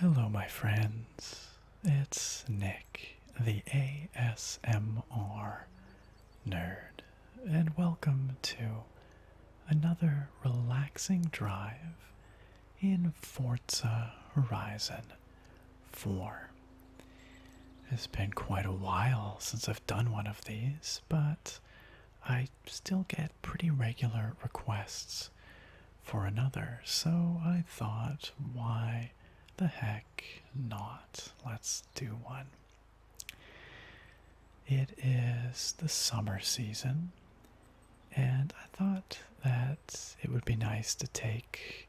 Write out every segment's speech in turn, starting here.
Hello, my friends. It's Nick, the ASMR nerd, and welcome to another relaxing drive in Forza Horizon 4. It's been quite a while since I've done one of these, but I still get pretty regular requests for another, so I thought, why the heck not? Let's do one. It is the summer season, and I thought that it would be nice to take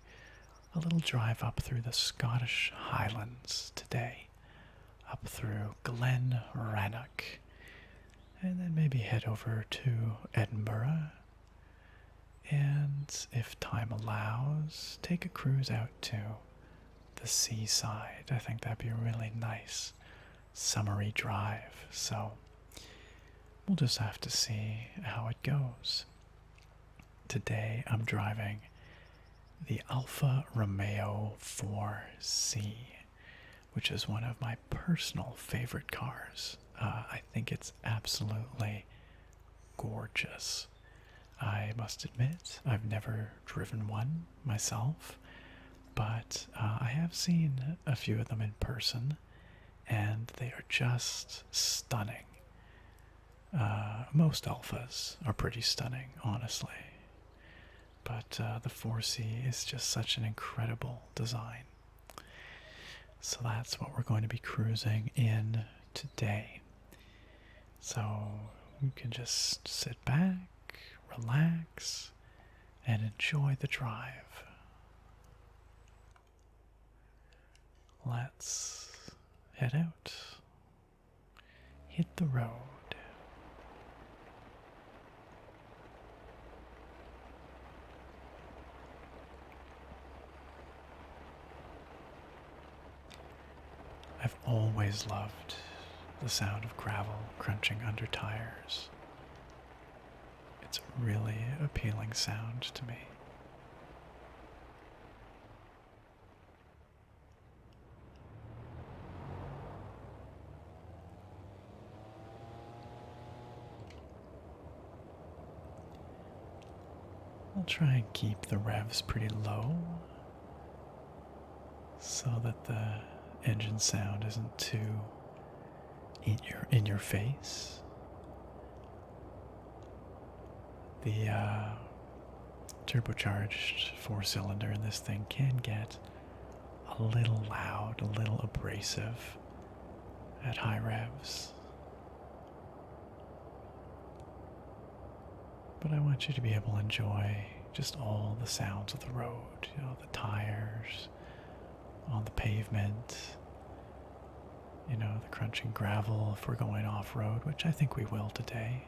a little drive up through the Scottish Highlands today, up through Glen Rannoch, and then maybe head over to Edinburgh. And if time allows, take a cruise out to the seaside. I think that'd be really nice summary drive. So we'll just have to see how it goes. Today I'm driving the Alfa Romeo 4C, which is one of my personal favorite cars. Uh, I think it's absolutely gorgeous. I must admit, I've never driven one myself, but uh, I have seen a few of them in person, and they are just stunning. Uh, most alphas are pretty stunning, honestly. But uh, the 4C is just such an incredible design. So that's what we're going to be cruising in today. So you can just sit back, relax, and enjoy the drive. Let's head out, hit the road. I've always loved the sound of gravel crunching under tires it's a really appealing sound to me. I'll try and keep the revs pretty low so that the engine sound isn't too in your in your face. The uh, turbocharged four cylinder in this thing can get a little loud, a little abrasive at high revs. But I want you to be able to enjoy just all the sounds of the road, you know, the tires, on the pavement, you know, the crunching gravel if we're going off road, which I think we will today.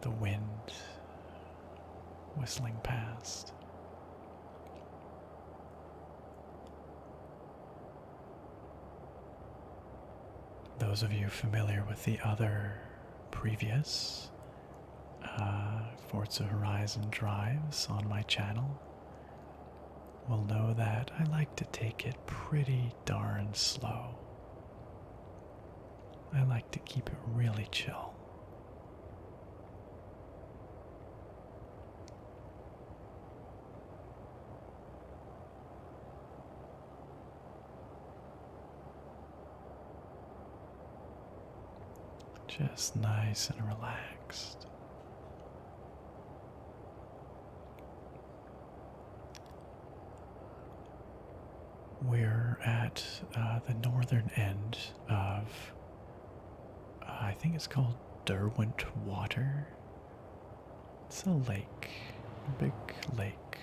The wind whistling past. Those of you familiar with the other previous uh, Forza Horizon drives on my channel will know that I like to take it pretty darn slow. I like to keep it really chill. Just nice and relaxed. We're at uh, the northern end of, I think it's called Derwent Water. It's a lake, a big lake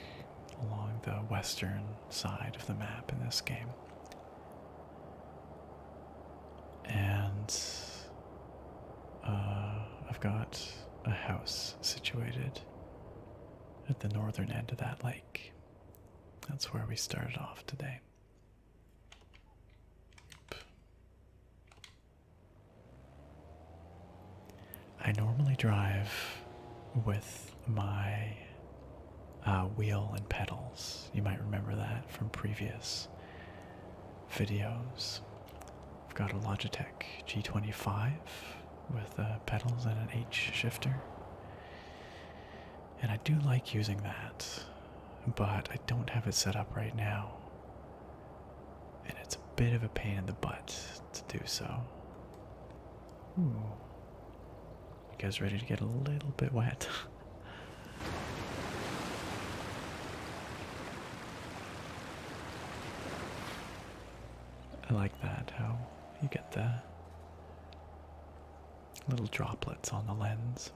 along the western side of the map in this game and uh, I've got a house situated at the northern end of that lake. That's where we started off today. I normally drive with my uh, wheel and pedals. You might remember that from previous videos. I've got a Logitech G25 with uh, pedals and an H shifter. And I do like using that, but I don't have it set up right now. And it's a bit of a pain in the butt to do so. You guys ready to get a little bit wet? I like that, how you get the little droplets on the lens.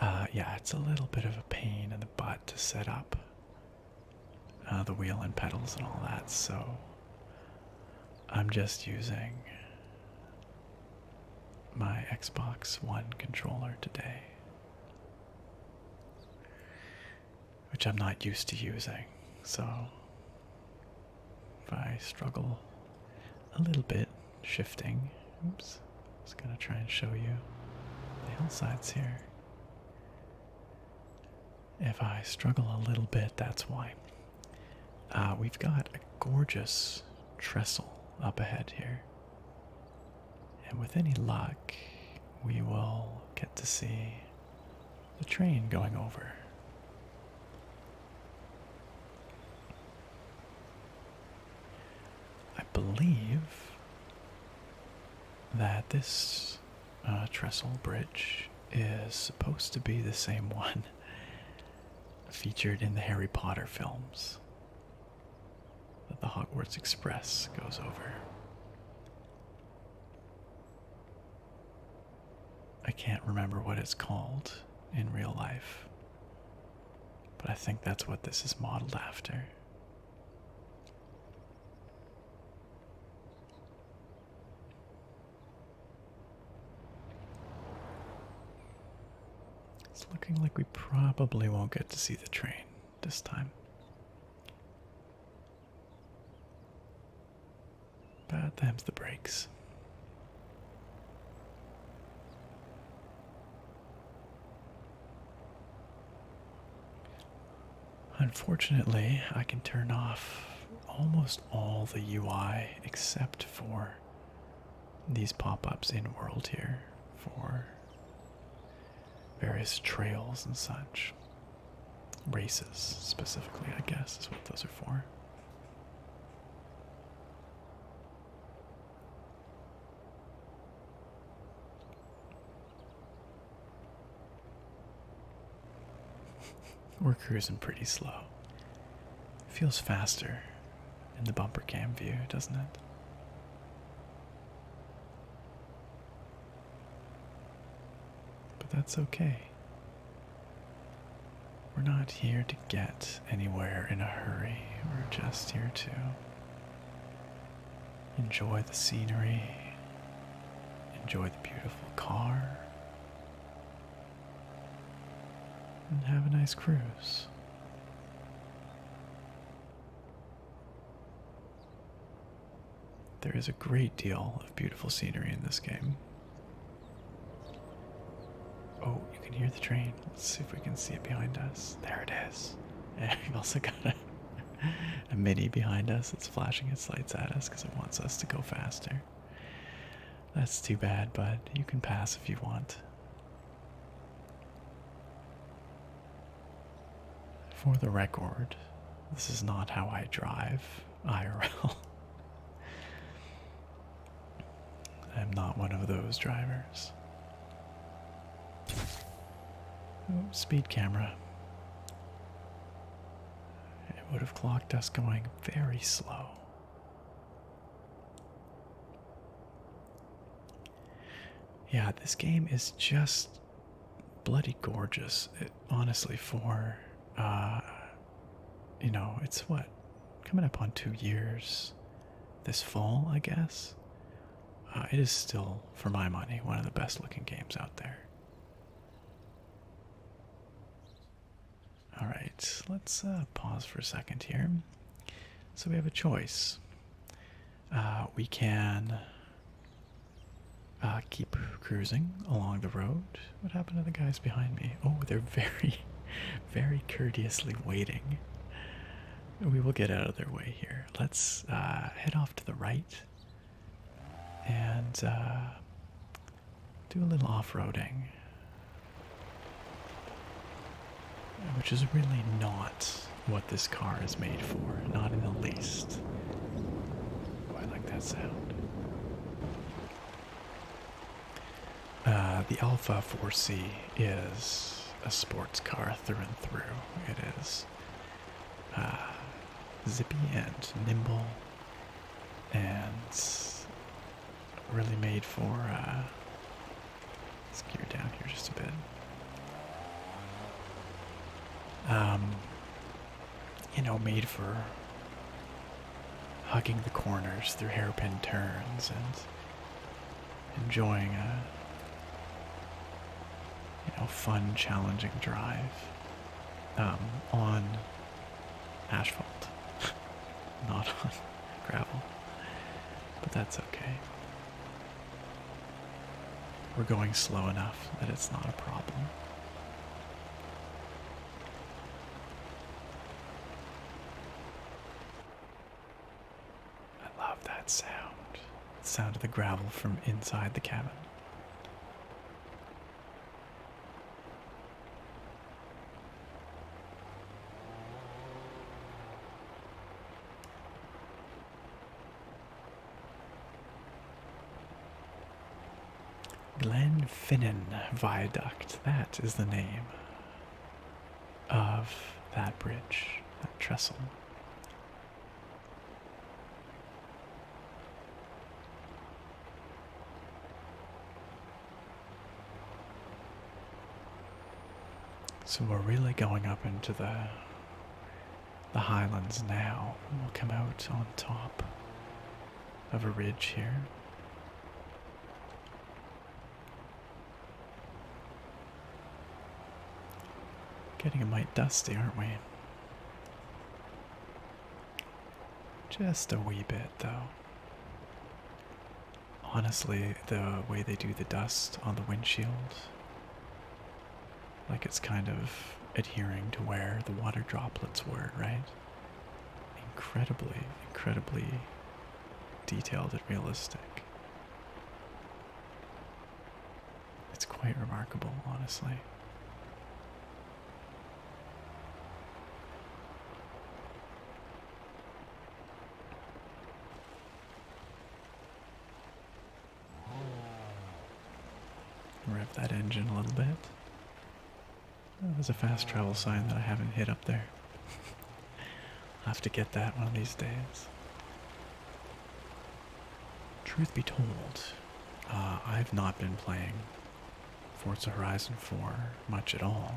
Uh, yeah, it's a little bit of a pain in the butt to set up uh, the wheel and pedals and all that, so I'm just using my Xbox One controller today, which I'm not used to using, so if I struggle a little bit shifting, oops, just gonna try and show you the hillsides here. If I struggle a little bit, that's why. Uh, we've got a gorgeous trestle up ahead here. And with any luck, we will get to see the train going over. I believe that this uh, Trestle Bridge is supposed to be the same one featured in the Harry Potter films that the Hogwarts Express goes over. I can't remember what it's called in real life, but I think that's what this is modeled after. It's looking like we probably won't get to see the train this time. Bad times the brakes. Unfortunately, I can turn off almost all the UI except for these pop-ups in world here for various trails and such. Races specifically, I guess, is what those are for. We're cruising pretty slow. It feels faster in the bumper cam view, doesn't it? But that's okay. We're not here to get anywhere in a hurry, we're just here to enjoy the scenery, enjoy the beautiful car, and have a nice cruise. There is a great deal of beautiful scenery in this game. Oh, you can hear the train. Let's see if we can see it behind us. There it is. And we've also got a, a mini behind us that's flashing its lights at us because it wants us to go faster. That's too bad, but you can pass if you want. For the record, this is not how I drive IRL. I'm not one of those drivers. Oh, speed camera. It would have clocked us going very slow. Yeah, this game is just bloody gorgeous. honestly, for uh, you know, it's what coming up on two years this fall, I guess. Uh, it is still, for my money, one of the best looking games out there. All right, let's uh, pause for a second here. So we have a choice. Uh, we can uh, keep cruising along the road. What happened to the guys behind me? Oh, they're very, very courteously waiting. We will get out of their way here. Let's head off to the right and do a little off-roading. Which is really not what this car is made for, not in the least. Oh, I like that sound. Uh, the Alpha 4C is a sports car through and through. It is uh, zippy and nimble and really made for. let's uh, gear down here just a bit. Um, you know, made for hugging the corners through hairpin turns and enjoying a you know fun, challenging drive um, on asphalt, not gravel. But that's okay. We're going slow enough that it's not a problem. I love that sound. The sound of the gravel from inside the cabin. Glenfinnan Viaduct, that is the name of that bridge, that trestle. So we're really going up into the the highlands now. We'll come out on top of a ridge here. Getting a mite dusty, aren't we? Just a wee bit, though. Honestly, the way they do the dust on the windshield, like it's kind of adhering to where the water droplets were, right? Incredibly, incredibly detailed and realistic. It's quite remarkable, honestly. Rev that engine a little bit. Oh, there's a fast travel sign that I haven't hit up there. I'll have to get that one of these days. Truth be told, uh, I've not been playing Forza Horizon 4 much at all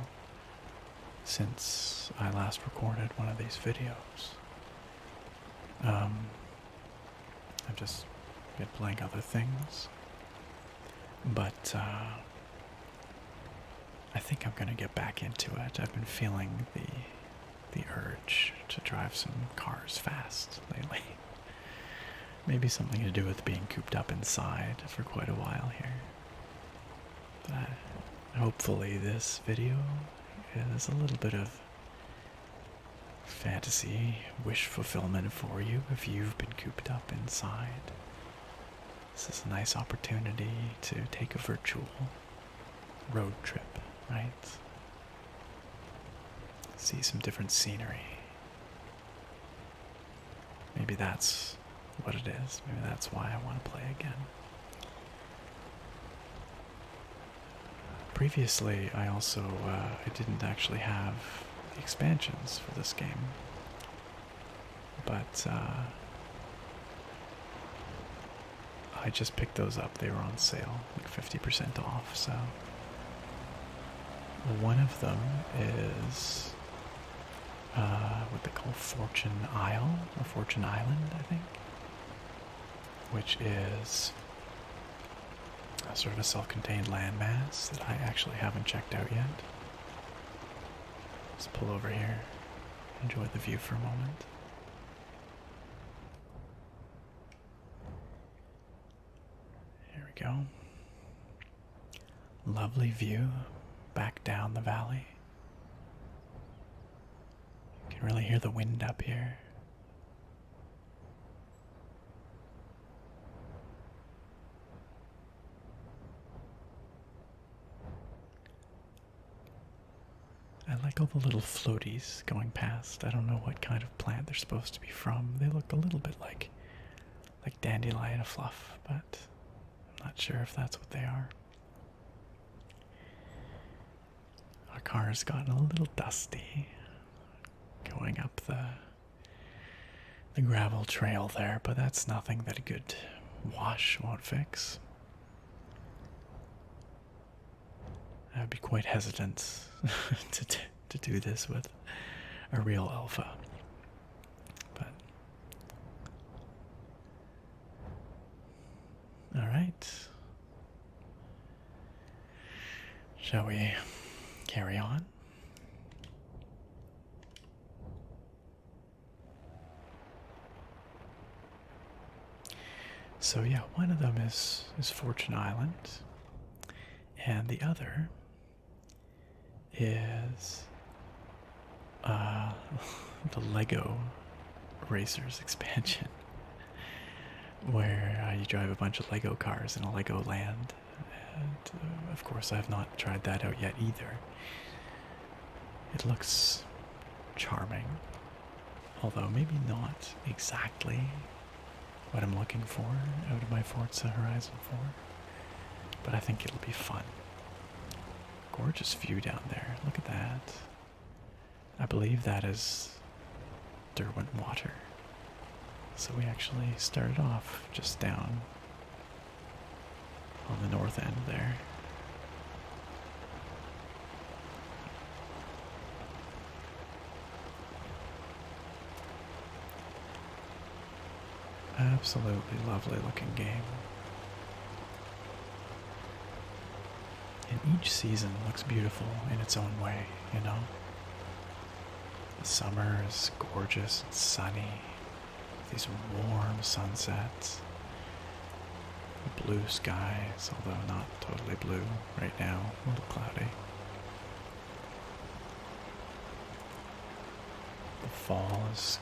since I last recorded one of these videos. Um, I've just been playing other things, but uh, I think I'm gonna get back into it. I've been feeling the the urge to drive some cars fast lately. Maybe something to do with being cooped up inside for quite a while here. But hopefully, this video is a little bit of fantasy, wish fulfillment for you if you've been cooped up inside. This is a nice opportunity to take a virtual road trip, right? See some different scenery. Maybe that's what it is. Maybe that's why I want to play again. Previously, I also uh, I didn't actually have expansions for this game, but uh, I just picked those up. They were on sale, like fifty percent off. So one of them is uh, what they call Fortune Isle or Fortune Island, I think, which is a sort of a self-contained landmass that I actually haven't checked out yet. Let's pull over here, enjoy the view for a moment. Here we go. Lovely view back down the valley. You can really hear the wind up here. I like all the little floaties going past. I don't know what kind of plant they're supposed to be from. They look a little bit like like dandelion fluff, but I'm not sure if that's what they are. Our car has gotten a little dusty going up the the gravel trail there, but that's nothing that a good wash won't fix. I'd be quite hesitant to to do this with a real alpha. But all right. Shall we carry on? So yeah, one of them is is Fortune Island, and the other is uh, the Lego Racers expansion, where you drive a bunch of Lego cars in a Lego land. And uh, of course, I have not tried that out yet either. It looks charming, although maybe not exactly what I'm looking for out of my Forza Horizon 4. But I think it'll be fun. Gorgeous view down there. Look at that. I believe that is Derwent Water. So we actually started off just down on the north end there. Absolutely lovely looking game. And each season looks beautiful in its own way, you know? The summer is gorgeous and sunny, these warm sunsets, blue skies, although not totally blue right now, a little cloudy. The fall is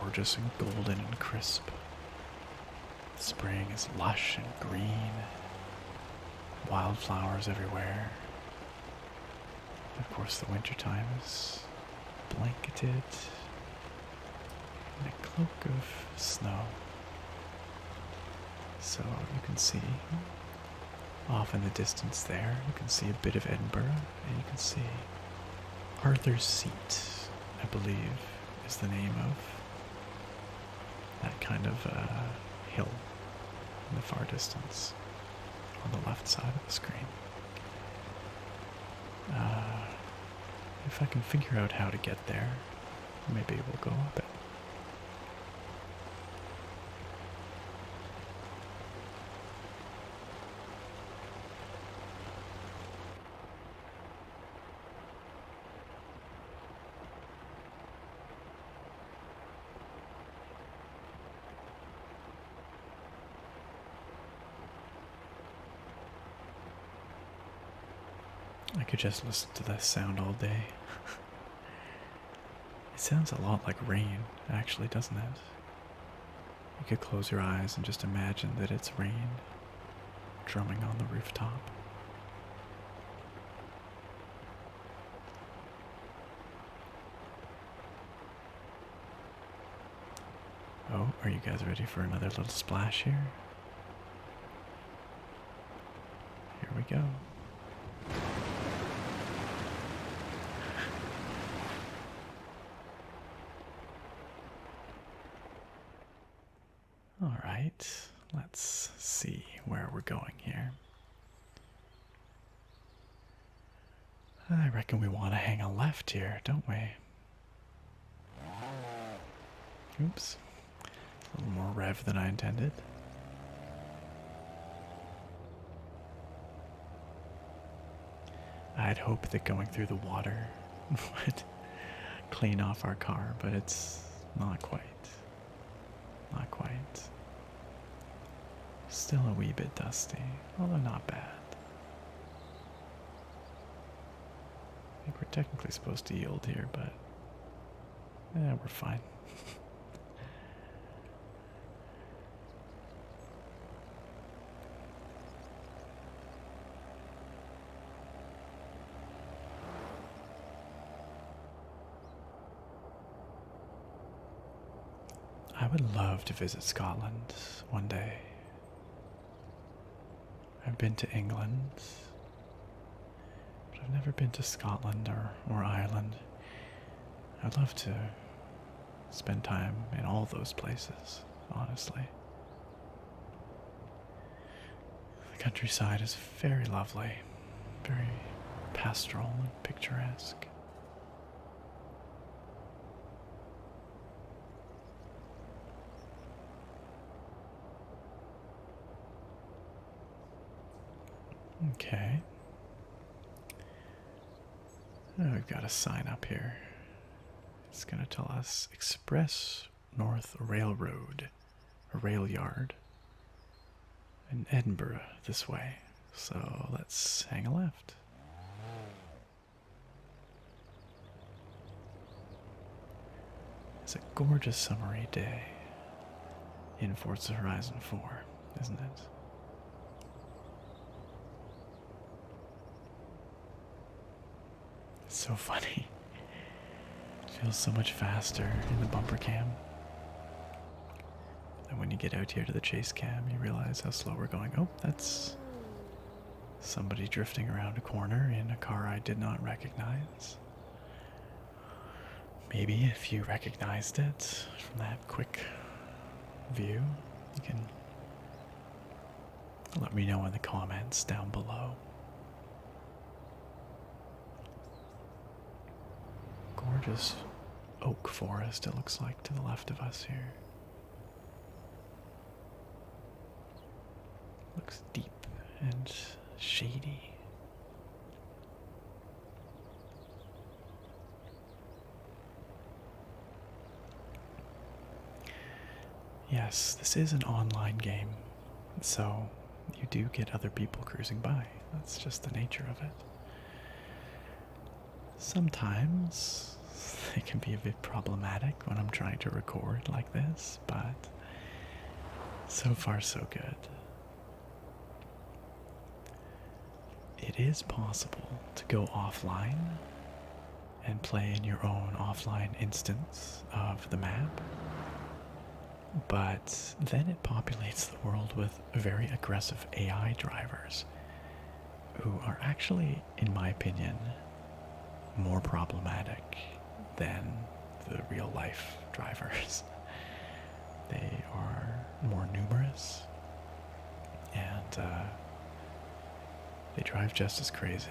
gorgeous and golden and crisp. Spring is lush and green, wildflowers everywhere. of course, the wintertime is blanketed in a cloak of snow. So you can see off in the distance there, you can see a bit of Edinburgh, and you can see Arthur's Seat, I believe, is the name of that kind of uh, hill in the far distance on the left side of the screen. Uh, if I can figure out how to get there, maybe we'll go up it. I could just listen to that sound all day. it sounds a lot like rain, actually, doesn't it? You could close your eyes and just imagine that it's rain drumming on the rooftop. Oh, are you guys ready for another little splash here? Here we go. All right, let's see where we're going here. I reckon we want to hang a left here, don't we? Oops. A little more rev than I intended i had hoped that going through the water would clean off our car, but it's not quite. Not quite. Still a wee bit dusty, although not bad. I think we're technically supposed to yield here, but yeah, we're fine. I would love to visit Scotland one day. I've been to England, but I've never been to Scotland or, Ireland. I'd love to spend time in all those places, honestly. The countryside is very lovely, very pastoral and picturesque. Okay we've oh, got a sign up here. It's going to tell us Express North Railroad, a rail yard in Edinburgh this way. So let's hang a left. It's a gorgeous summery day in Forza Horizon 4, isn't it? so funny. feels so much faster in the bumper cam. And when you get out here to the chase cam, you realize how slow we're going. Oh, that's somebody drifting around a corner in a car I did not recognize. Maybe if you recognized it from that quick view, you can let me know in the comments down below. Gorgeous oak forest, it looks like, to the left of us here. Looks deep and shady. Yes, this is an online game, so you do get other people cruising by. That's just the nature of it. Sometimes it can be a bit problematic when I'm trying to record like this, but so far so good. It is possible to go offline and play in your own offline instance of the map, but then it populates the world with very aggressive AI drivers who are actually, in my opinion, more problematic than the real life drivers. They are more numerous, and uh, they drive just as crazy.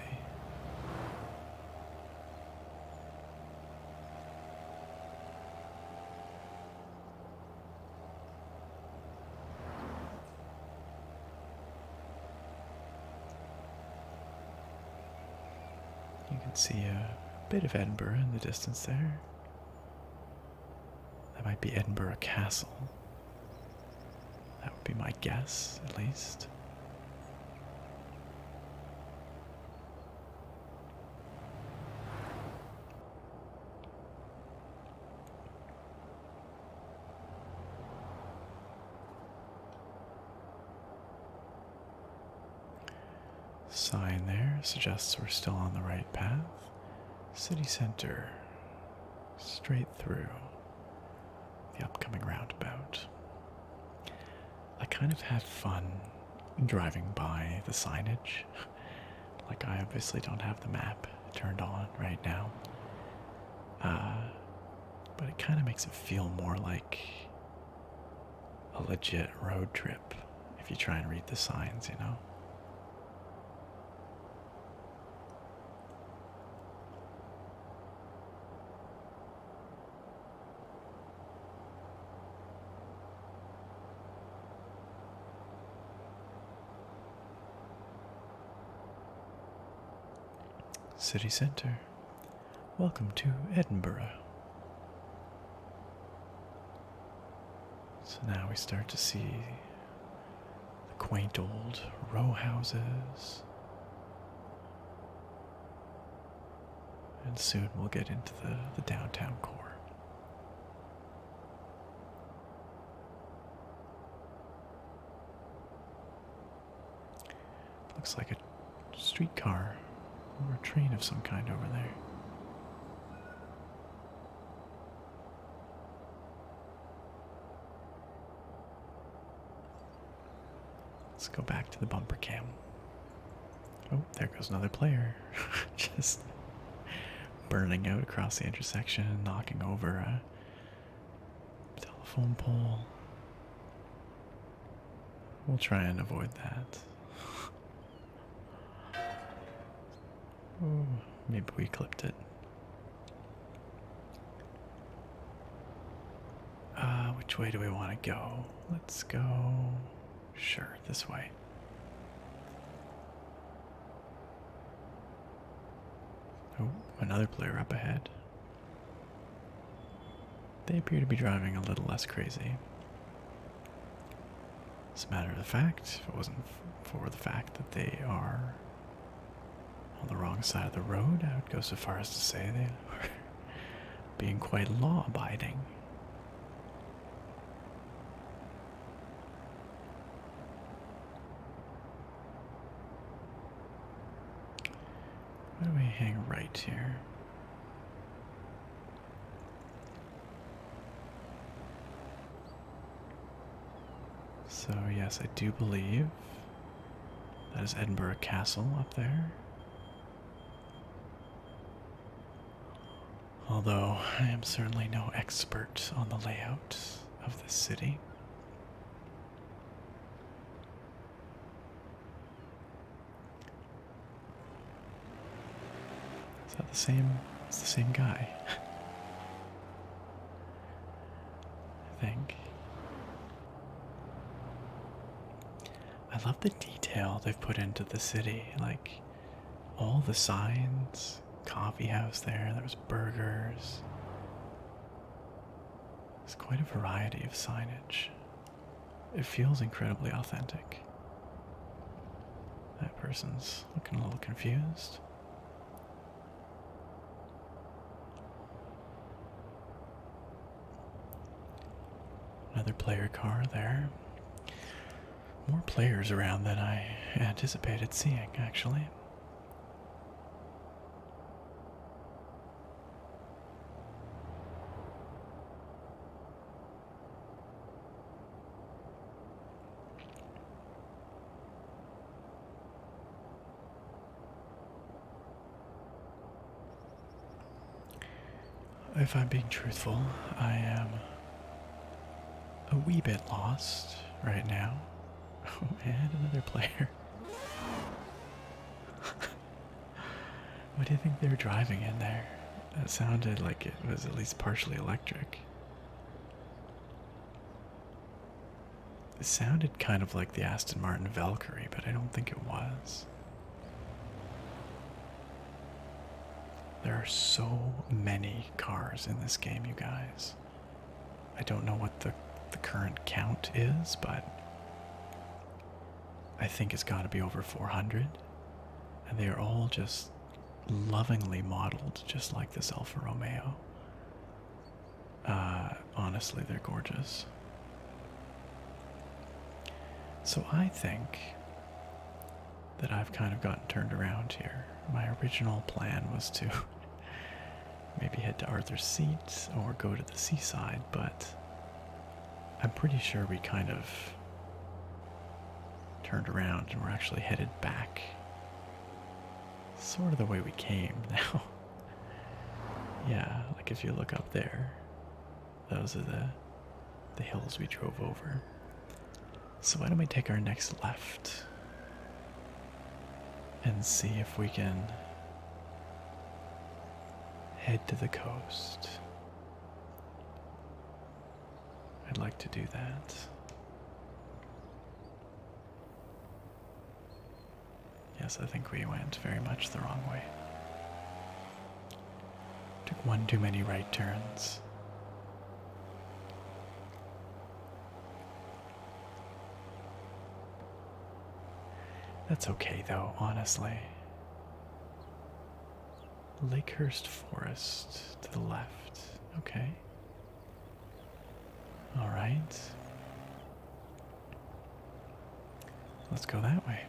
You can see a bit of Edinburgh in the distance there. That might be Edinburgh Castle. That would be my guess, at least. Sign there suggests we're still on the right path. City Center straight through the upcoming roundabout. I kind of had fun driving by the signage. like, I obviously don't have the map turned on right now. Uh, but it kind of makes it feel more like a legit road trip if you try and read the signs, you know? City Centre. Welcome to Edinburgh. So now we start to see the quaint old row houses. And soon we'll get into the, the downtown core. Looks like a streetcar or a train of some kind over there. Let's go back to the bumper cam. Oh, there goes another player. Just burning out across the intersection and knocking over a telephone pole. We'll try and avoid that. Ooh, maybe we clipped it. Uh, which way do we want to go? Let's go. Sure, this way. Oh, another player up ahead. They appear to be driving a little less crazy. As a matter of fact, if it wasn't for the fact that they are on the wrong side of the road. I would go so far as to say they are being quite law abiding. Why do we hang right here? So, yes, I do believe that is Edinburgh Castle up there. Although I am certainly no expert on the layout of this city. Is that the same? It's the same guy. I think. I love the detail they've put into the city, like all the signs, coffee house there, there was burgers. There's quite a variety of signage. It feels incredibly authentic. That person's looking a little confused. Another player car there. More players around than I anticipated seeing, actually. If I'm being truthful, I am a wee bit lost right now. Oh, and another player. what do you think they are driving in there? That sounded like it was at least partially electric. It sounded kind of like the Aston Martin Valkyrie, but I don't think it was. There are so many cars in this game, you guys. I don't know what the, the current count is, but I think it's got to be over 400. And they are all just lovingly modeled, just like this Alfa Romeo. Uh, honestly, they're gorgeous. So I think that I've kind of gotten turned around here. My original plan was to maybe head to Arthur's Seat or go to the seaside, but I'm pretty sure we kind of turned around and we're actually headed back sort of the way we came now. yeah, like if you look up there, those are the the hills we drove over. So why don't we take our next left and see if we can head to the coast. I'd like to do that. Yes, I think we went very much the wrong way. Took one too many right turns. That's okay though, honestly. Lakehurst Forest to the left. Okay. All right. Let's go that way.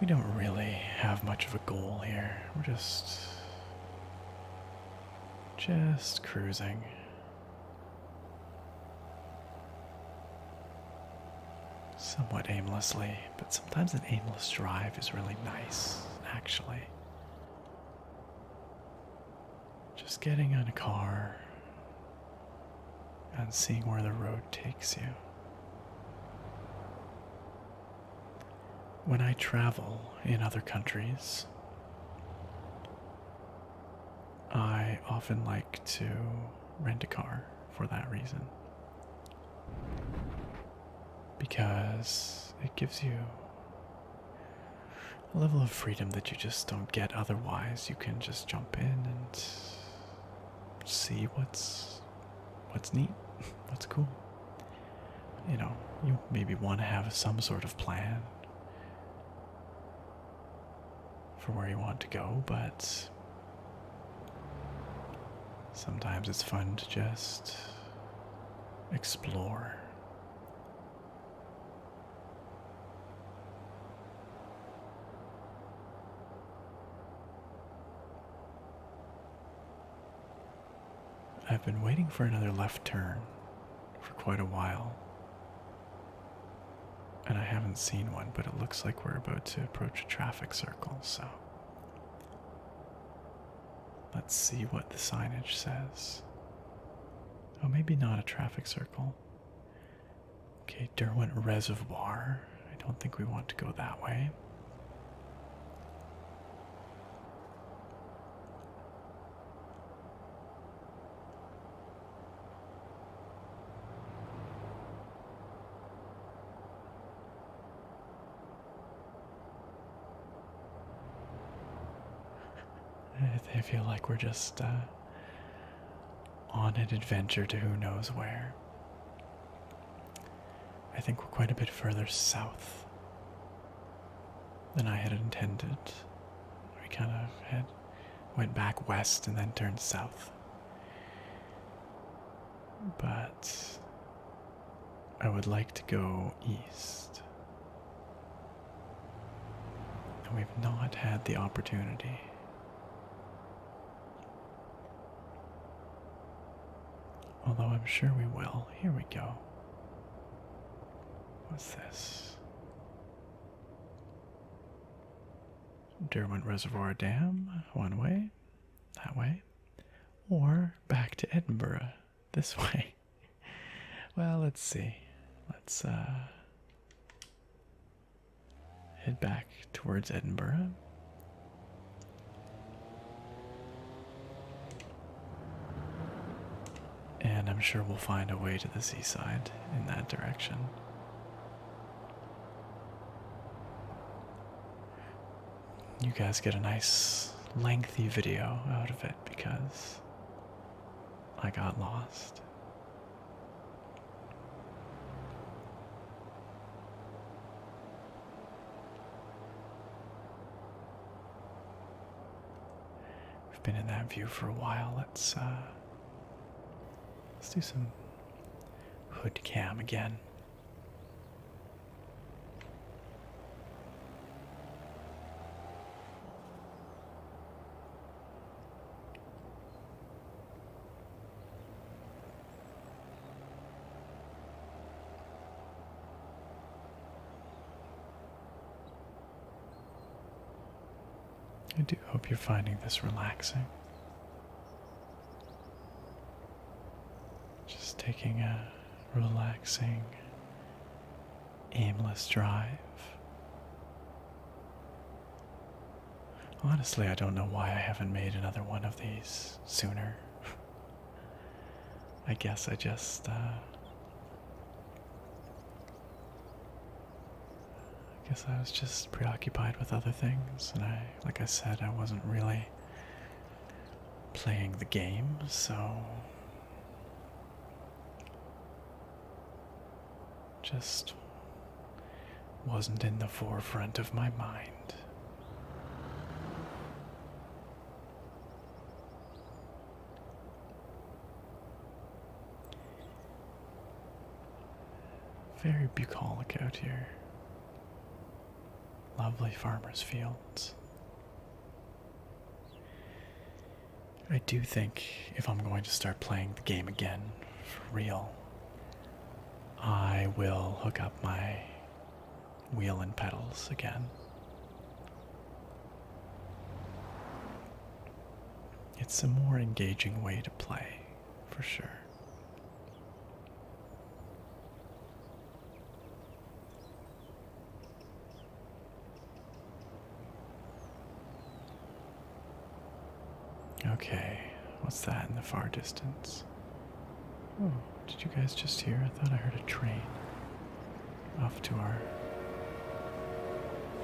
We don't really have much of a goal here. We're just just cruising. Somewhat aimlessly, but sometimes an aimless drive is really nice, actually. Just getting in a car and seeing where the road takes you. When I travel in other countries, I often like to rent a car for that reason because it gives you a level of freedom that you just don't get otherwise. You can just jump in and see what's what's neat, what's cool. You know, you maybe want to have some sort of plan for where you want to go, but sometimes it's fun to just explore. I've been waiting for another left turn for quite a while. And I haven't seen one, but it looks like we're about to approach a traffic circle, so Let's see what the signage says. Oh, maybe not a traffic circle. Okay, Derwent Reservoir. I don't think we want to go that way. I feel like we're just uh, on an adventure to who knows where. I think we're quite a bit further south than I had intended. We kind of went back west and then turned south. But I would like to go east. And we've not had the opportunity. Although I'm sure we will. Here we go. What's this? Derwent Reservoir Dam, one way, that way, or back to Edinburgh, this way. well, let's see. Let's uh, head back towards Edinburgh. And I'm sure we'll find a way to the seaside in that direction you guys get a nice lengthy video out of it because I got lost. We've been in that view for a while. Let's uh, let's do some hood cam again. I do hope you're finding this relaxing. Just taking a relaxing, aimless drive. Honestly, I don't know why I haven't made another one of these sooner. I guess I just, uh, I guess I was just preoccupied with other things, and I, like I said, I wasn't really playing the game, so just wasn't in the forefront of my mind. Very bucolic out here. Lovely farmers' fields. I do think if I'm going to start playing the game again for real, I will hook up my wheel and pedals again. It's a more engaging way to play, for sure. Okay, what's that in the far distance? Oh, did you guys just hear? I thought I heard a train off to our,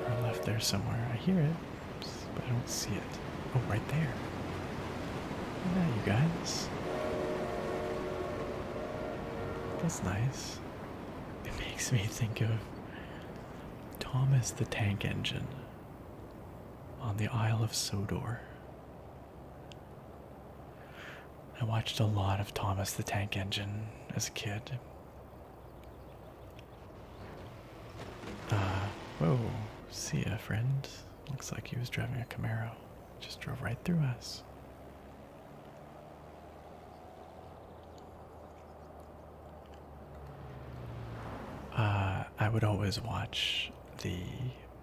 our left there somewhere. I hear it, but I don't see it. Oh, right there. Yeah, you guys. That's nice it makes me think of Thomas the Tank Engine on the Isle of Sodor. I watched a lot of Thomas the Tank Engine as a kid. Uh, whoa, see ya, friend. Looks like he was driving a Camaro. Just drove right through us. Uh, I would always watch the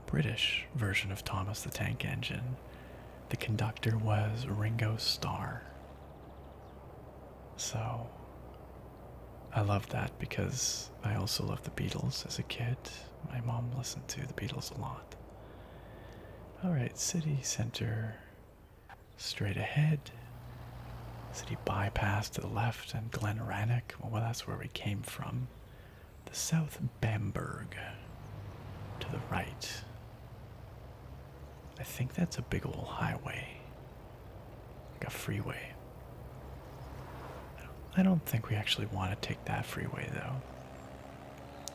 British version of Thomas the Tank Engine. The conductor was Ringo Starr. So I love that because I also loved the Beatles as a kid. My mom listened to the Beatles a lot. All right, city center straight ahead. City bypass to the left and Glen Rannoch. Well, that's where we came from. The South Bamberg to the right. I think that's a big old highway, like a freeway. I don't, I don't think we actually want to take that freeway though.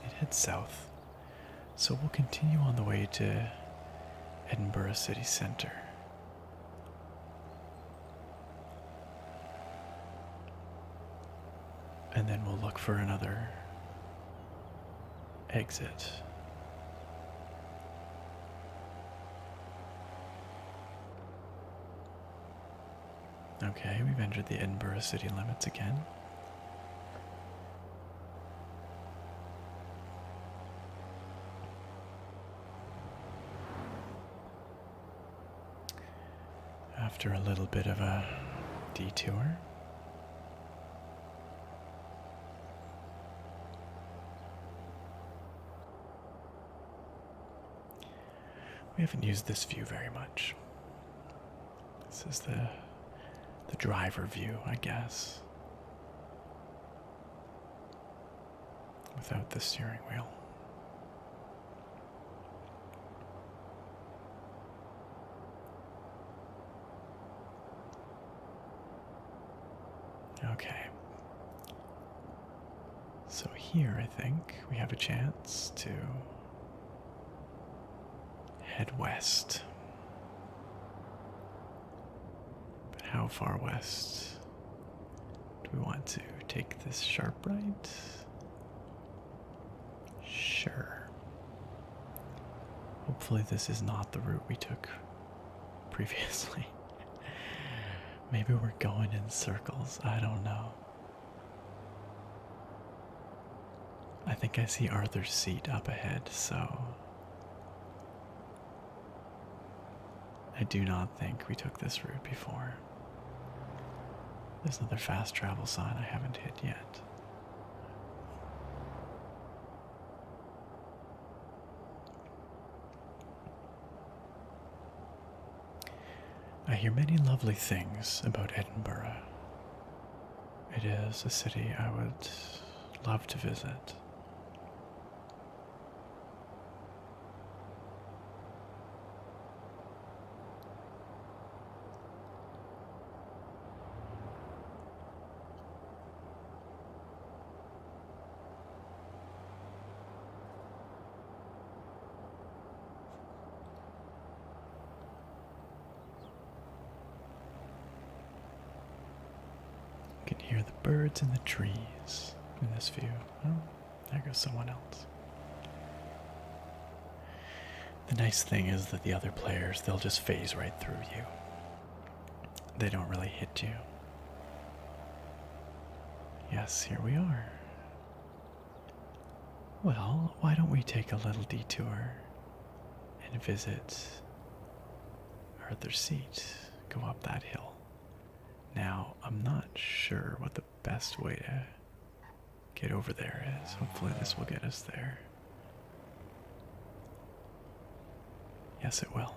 It heads south. So we'll continue on the way to Edinburgh City Centre. And then we'll look for another exit. Okay, we've entered the Edinburgh city limits again. After a little bit of a detour. We haven't used this view very much. This is the the driver view, I guess. Without the steering wheel. Okay. So here I think we have a chance to Head west. But how far west do we want to take this sharp right? Sure. Hopefully, this is not the route we took previously. Maybe we're going in circles. I don't know. I think I see Arthur's seat up ahead, so I do not think we took this route before. There's another fast travel sign I haven't hit yet. I hear many lovely things about Edinburgh. It is a city I would love to visit. You can hear the birds in the trees in this view. Oh, there goes someone else. The nice thing is that the other players, they'll just phase right through you. They don't really hit you. Yes, here we are. Well, why don't we take a little detour and visit Arthur's Seat. Go up that hill. Now, I'm not sure what the best way to get over there is. Hopefully, this will get us there. Yes, it will.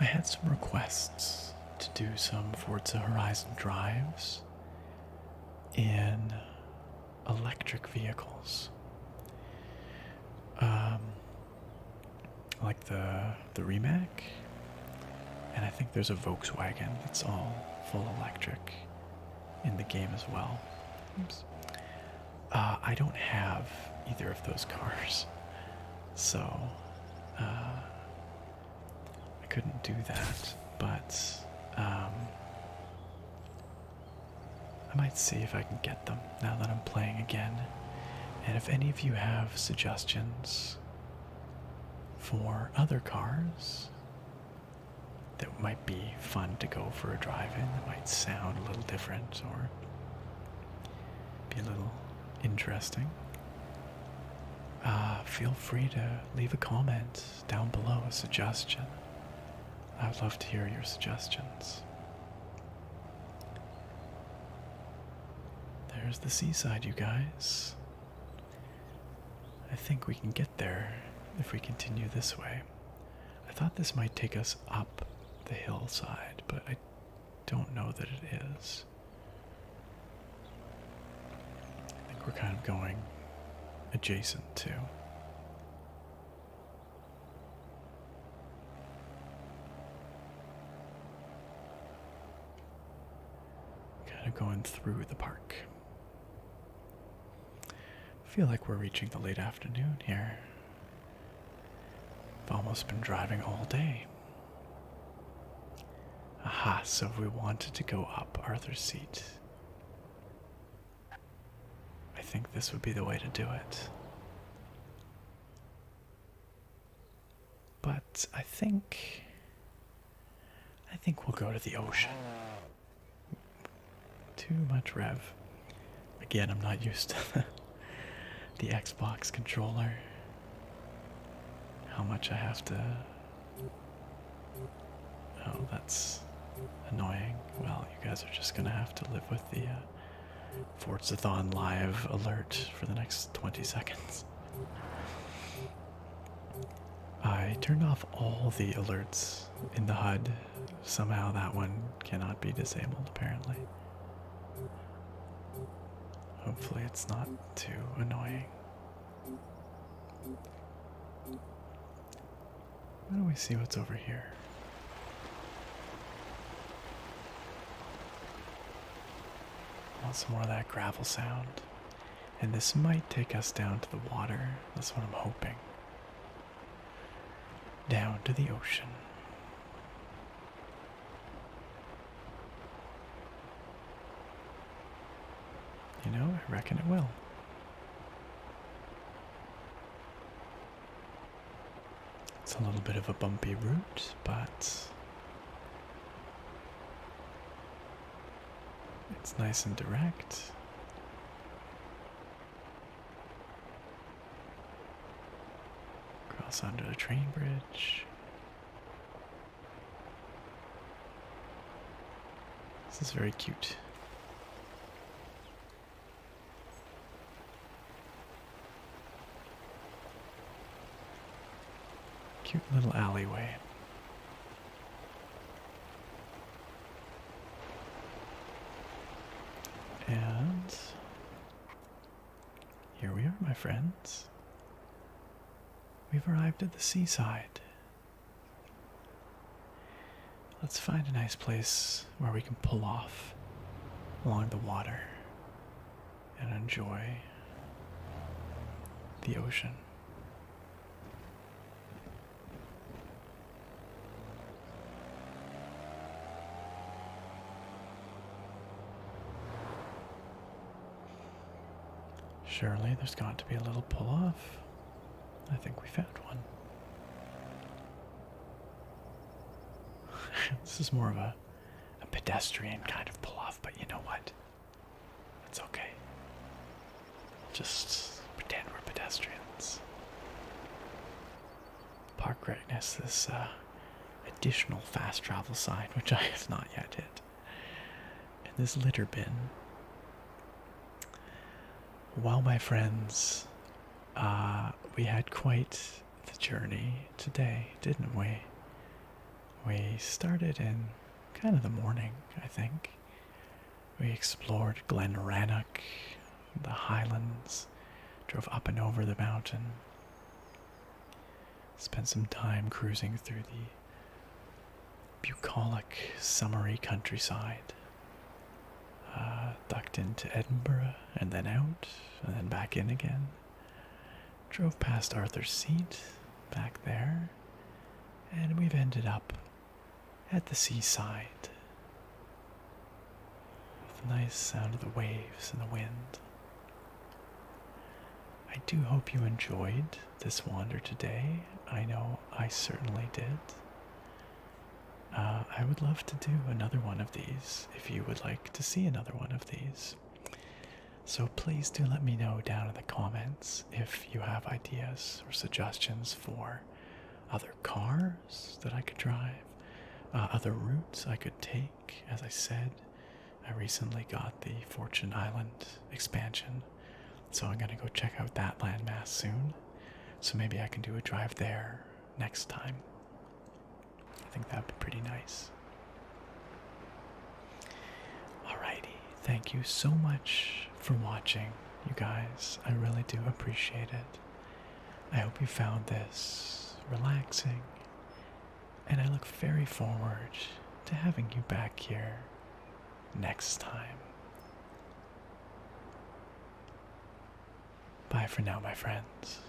I had some requests to do some Forza Horizon drives in electric vehicles. Um, like the the Remac, and I think there's a Volkswagen that's all full electric in the game as well. Uh, I don't have either of those cars, so uh, I couldn't do that. But um, I might see if I can get them now that I'm playing again. And if any of you have suggestions for other cars, that might be fun to go for a drive in, that might sound a little different or be a little interesting. Uh, feel free to leave a comment down below, a suggestion. I would love to hear your suggestions. There's the seaside, you guys. I think we can get there if we continue this way. I thought this might take us up the hillside, but I don't know that it is. I think we're kind of going adjacent to. Kind of going through the park. I feel like we're reaching the late afternoon here. I've almost been driving all day. Aha, so we wanted to go up Arthur's seat. I think this would be the way to do it. But I think. I think we'll go to the ocean. Too much rev. Again, I'm not used to the Xbox controller. How much I have to. Oh, that's annoying. Well, you guys are just gonna have to live with the uh, Forzathon live alert for the next 20 seconds. I turned off all the alerts in the HUD. Somehow that one cannot be disabled, apparently. Hopefully, it's not too annoying. Why don't we see what's over here? want some more of that gravel sound. And this might take us down to the water. That's what I'm hoping. Down to the ocean. You know, I reckon it will. It's a little bit of a bumpy route, but it's nice and direct. Cross under the train bridge. This is very cute. Cute little alleyway. And here we are, my friends. We've arrived at the seaside. Let's find a nice place where we can pull off along the water and enjoy the ocean. Surely there's got to be a little pull off. I think we found one. this is more of a, pedestrian kind of pull off, but you know what? It's okay. Just pretend we're pedestrians. Park Rec has this uh, additional fast travel sign, which I have not yet hit. And this litter bin. Well, my friends, uh, we had quite the journey today, didn't we? We started in kind of the morning, I think. We explored Glen Rannoch, the highlands, drove up and over the mountain, spent some time cruising through the bucolic, summery countryside, uh, ducked into Edinburgh and then out and then back in again. Drove past Arthur's Seat back there, and we've ended up at the seaside with the nice sound of the waves and the wind. I do hope you enjoyed this wander today. I know I certainly did. Uh, I would love to do another one of these if you would like to see another one of these. So please do let me know down in the comments if you have ideas or suggestions for other cars that I could drive, uh, other routes I could take. As I said, I recently got the Fortune Island expansion, so I'm going to go check out that landmass soon. So maybe I can do a drive there next time. I think that'd be pretty nice. Alrighty. Thank you so much for watching, you guys. I really do appreciate it. I hope you found this relaxing, and I look very forward to having you back here next time. Bye for now, my friends.